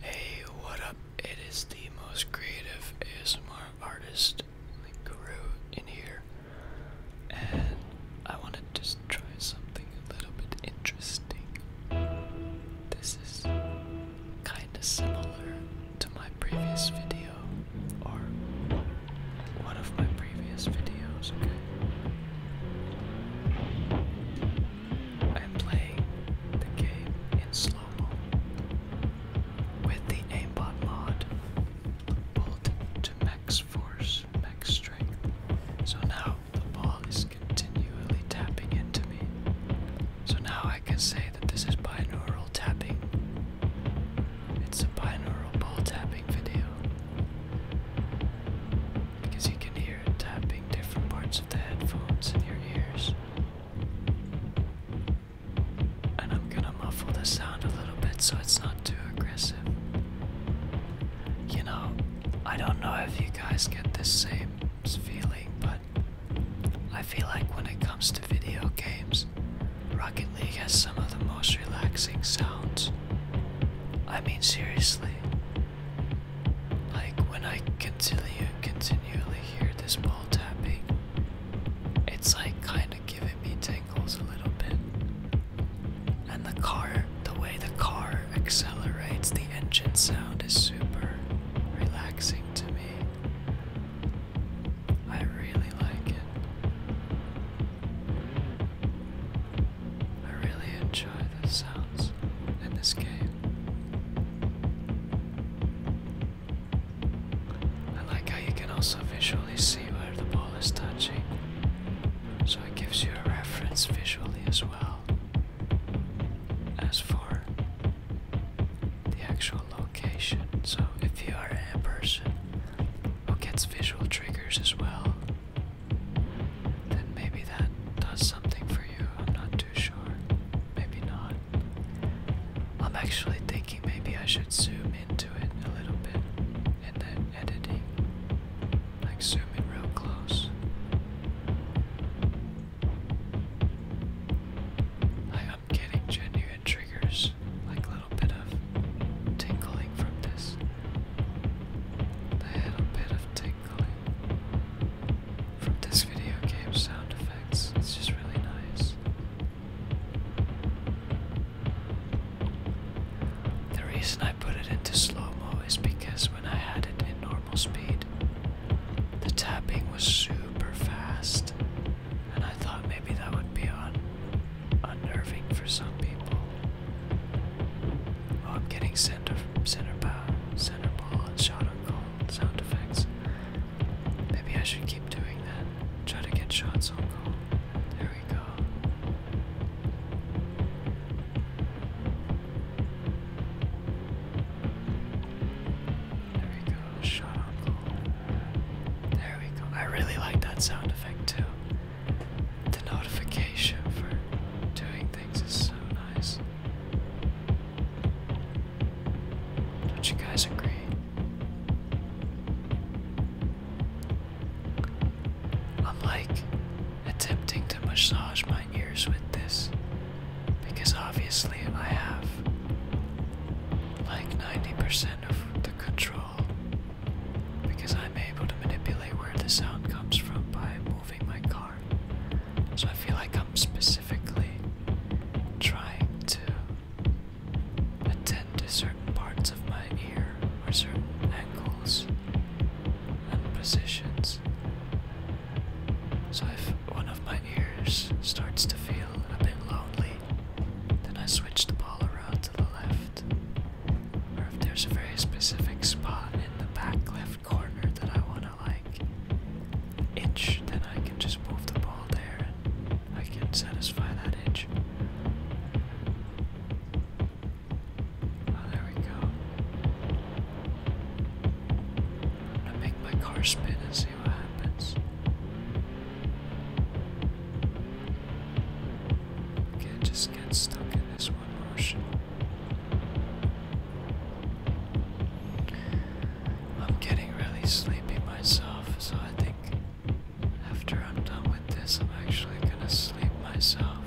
Hey, what up? It is the most creative ASMR artist, like Guru, in here. And I wanted to just try something a little bit interesting. This is kind of similar to my previous video, or one of my previous videos. Okay? I'm playing the game in slow-mo with the aimbot mod pulled to max force, max strength. So now the ball is continually tapping into me. So now I can say that this is binaural tapping. It's a binaural ball tapping video because you can hear it tapping different parts of the headphones in your ears. And I'm gonna muffle the sound a little bit so it's not too aggressive. You know, I don't know if you guys get this same feeling, but I feel like when it comes to video games, Rocket League has some of the most relaxing sounds. I mean, seriously. Like, when I continue, continually hear this ball tapping, it's like kind of giving me tingles a little bit. And the car, the way the car accelerates, the engine sound is super relaxing to me. I really like it. I really enjoy the sounds in this game. I like how you can also visually see where the ball is touching, so it gives you a reference visually as well as for the actual location. So if you are a person who gets visual triggers as well, then maybe that does something for you. I'm not too sure. Maybe not. I'm actually thinking maybe I should zoom into it a little bit and then editing. Like zooming real close. Like I'm getting genuine triggers, like a little bit of tingling from this. The little bit of tinkling from this video game sound effects, it's just really nice. The reason I put it into slow mo is because when I had it in normal speed, the tapping was super fast, and I thought maybe that would be on unnerving for some people. I'm getting center, center ball, center ball, and shot on goal sound effects. Maybe I should keep doing that. Try to get shots on goal. There we go. There we go. Shot on goal. There we go. I really like that sound effect too the notification for doing things is so nice. Don't you guys agree? I'm like attempting to massage my ears with this because obviously I have like 90% of the control because I'm able to manipulate where the sound comes from by moving my car. So I feel like I'm specifically trying to attend to certain parts of my ear or certain angles and positions. So if one of my ears starts to feel a bit lonely, then I switch the ball around to the left or if there's a very specific spot in the back left corner that I want to like inch, then I can just move the ball there and I can satisfy that itch. Oh, there we go. I'm gonna make my car spin and see what happens. Can't just get stuck in this one motion. I'm getting really sleepy myself, so I think after I'm done with this, I'm actually gonna sleep myself.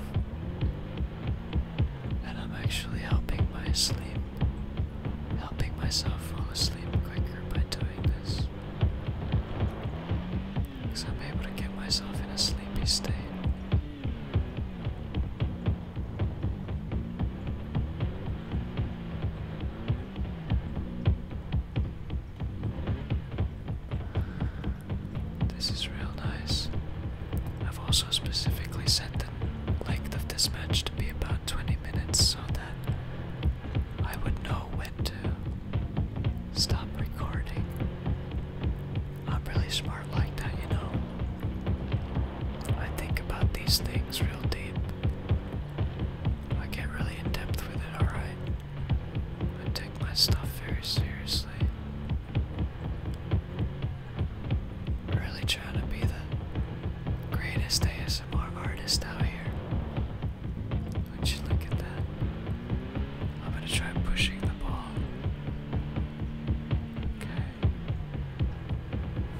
And I'm actually helping my sleep, helping myself fall asleep quicker by doing this. Because I'm able to get myself in a sleepy state. This is real nice. I've also specifically set the length of this match to be about 20 minutes so that I would know when to stop recording. I'm really smart like that, you know. I think about these things real deep. I get really in depth with it, alright? I take my stuff very seriously. Really trying to be the greatest ASMR artist out here. Would you look at that? I'm gonna try pushing the ball. Okay.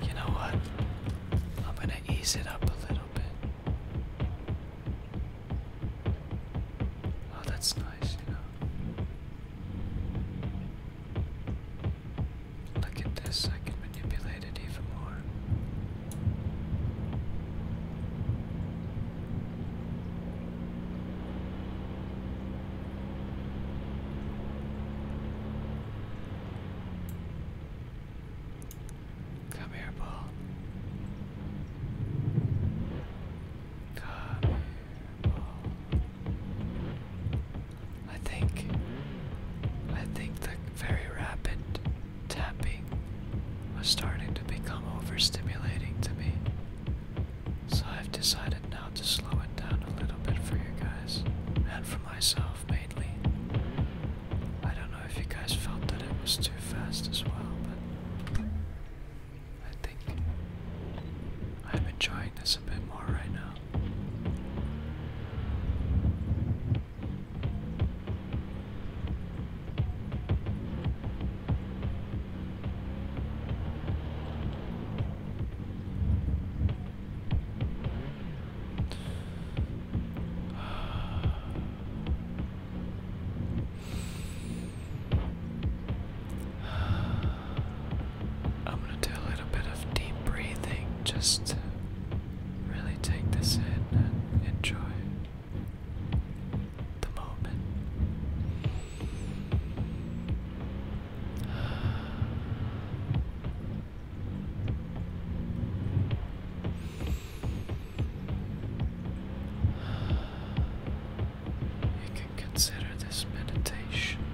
You know what? I'm gonna ease it up a little bit. Oh, that's nice, you know. Look at this, I can manipulate it even more. Come here, Paul. Come here, ball. I think, I think the very rapid tapping was starting to become overstimulating to me. So I've decided now to slow it down a little bit for you guys and for myself mainly. I don't know if you guys felt that it was too fast as well, but I think I'm enjoying this a bit more right now. I'm going to do a little bit of deep breathing just really take this in and enjoy the moment. You can consider this meditation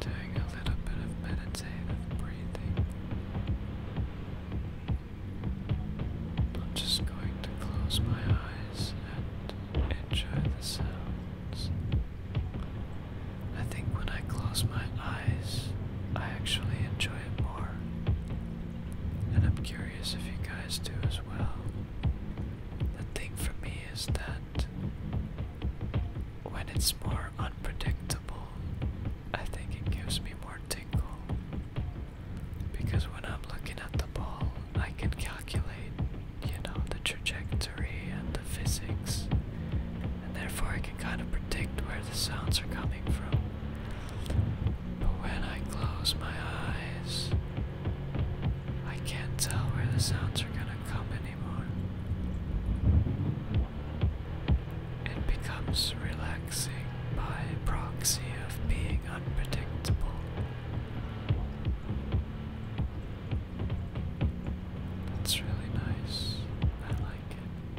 doing a little bit of meditative breathing. I'm just going to close my eyes and enjoy the sounds. I think when I close my eyes, I actually enjoy it more. And I'm curious if you guys do as well. The thing for me is that when it's more unpredictable, I think it gives me more tingle. Because when I'm looking at the ball, I can calculate, you know, the trajectory and the physics, and therefore I can kind of predict where the sounds are coming from. But when I close my eyes, I can't tell where the sounds are gonna come anymore. It becomes relaxing by proxy of being unpredictable. That's really nice. I like it.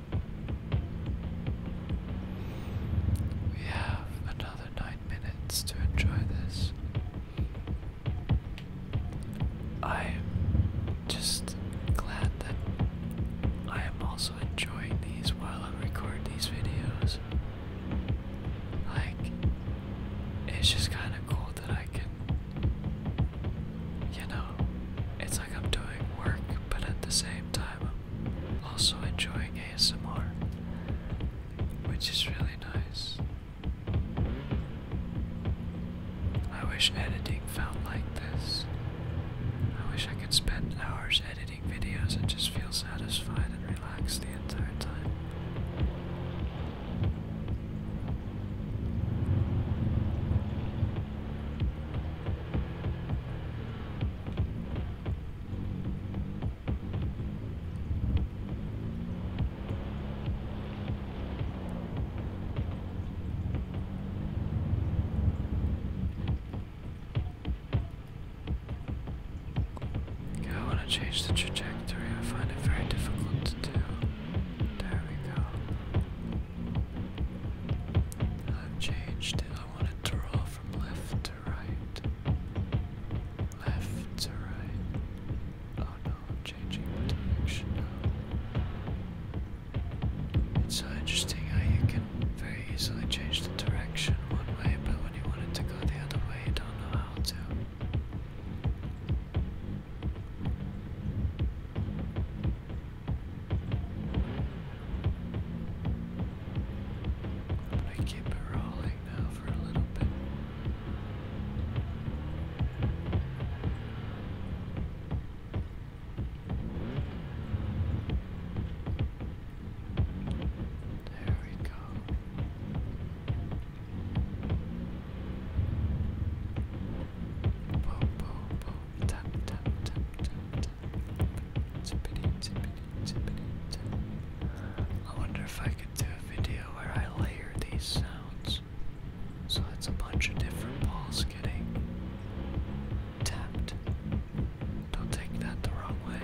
We have another nine minutes to enjoy this. I'm just glad that I am also enjoying these while I record these videos. Like, it's just kind of cool that I can, you know, it's like I'm doing work, but at the same time, also enjoying ASMR, which is really nice. I wish editing felt like this. I wish I could spend hours editing videos and just feel satisfied and relaxed the entire time. I want to change the trajectory. I find it very difficult to do. There we go. I've changed I want to draw from left to right. Left to right. Oh no, I'm changing direction It's so interesting how you can very easily change the direction one way, but when you want it to go the other way, you don't know how to i keep it rolling now for a little bit. There we go. Boom, boom, I wonder if I could do a video where I layer these sounds. So that's a bunch of different balls getting tapped. Don't take that the wrong way.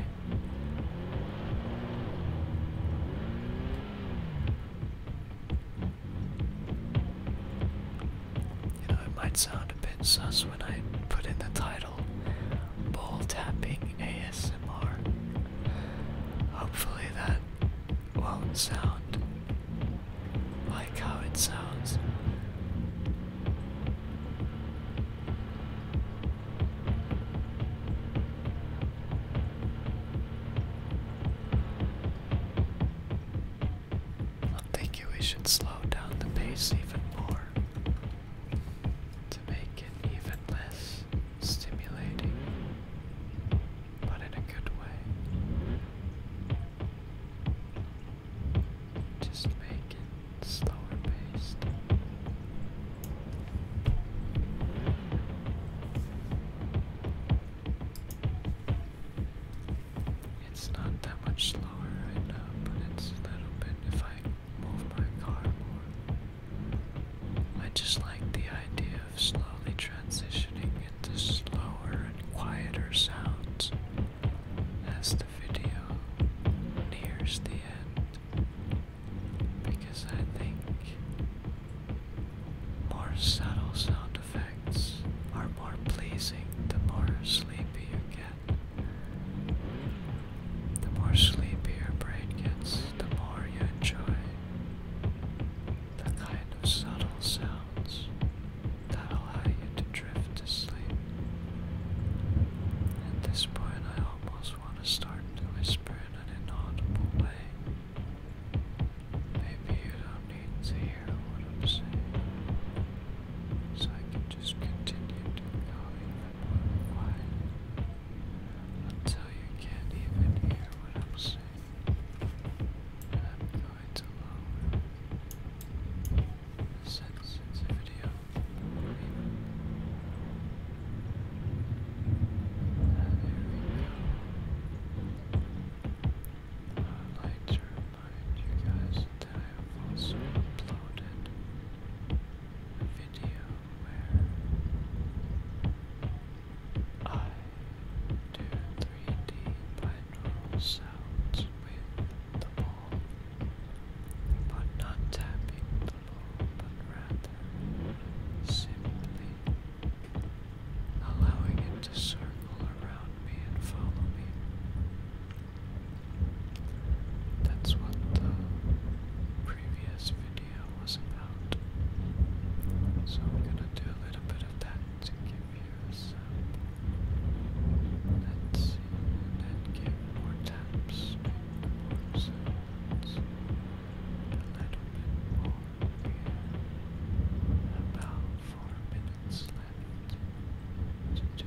You know, it might sound a bit sus when I put in the title "ball Tapping ASMR. Hopefully, that won't sound like how it sounds do think we should slow down the pace even more to make it even less stimulating, but in a good way. Just make it slower paced. It's not that much slower right now, but it's a little bit if I move my car more. I just like the idea of slowly transitioning into slower and quieter sounds as the video nears the end. Because I think more subtle sound effects are more pleasing the more sleepy you get. The more sleepy your brain gets, the more you enjoy the kind of subtle sounds that allow you to drift to sleep. At this point, I almost want to start to whisper in an inaudible way. Maybe you don't need to hear what I'm saying. So I can just continue doing all in my quiet until you can't even hear what I'm saying. And I'm going to lower sensitivity of the I'd like to remind you guys that I have also uploaded a video where I do 3D binaural sounds with the ball, but not tapping the ball, but rather simply allowing it to circle around me and follow me. That's what the previous video was about. So I'm gonna do a little bit of that to give you a sample. Let's see, and then more taps, a little more about four minutes left to do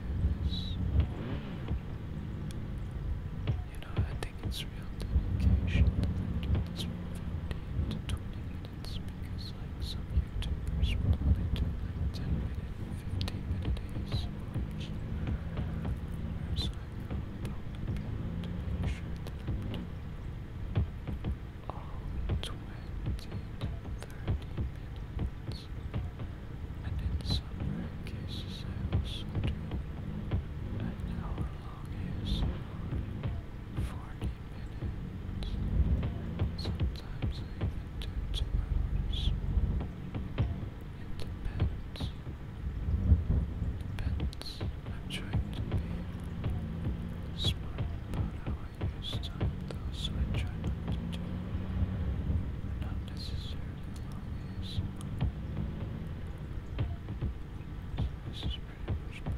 You know, I think it's real dedication to 15 to 20 minutes because, like, some YouTubers will only do like 10 15 minute So I will probably be 20 30 minutes. And in some rare cases, I also do an hour long ASMR, 40 minutes. Sometimes I even do two hours. It depends. I'm trying to be smart about how I use time, so I try not to not necessarily long ASMR. So pretty much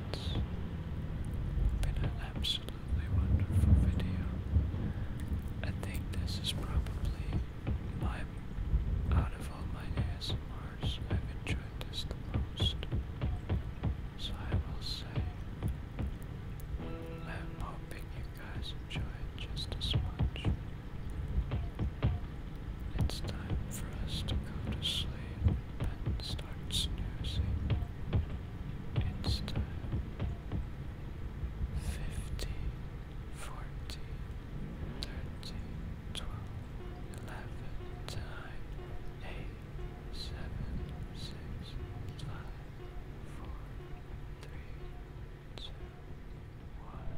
minutes. Been an absolutely wonderful video. I think this is probably my out of all my ASMRs I've enjoyed this the most. So I will say I'm hoping you guys enjoy it just as much. It's time for us to go to sleep and start snoozing. It's time. Fifty, forty, thirty, twelve, eleven, nine, eight, seven, six, five, four, three, two, one.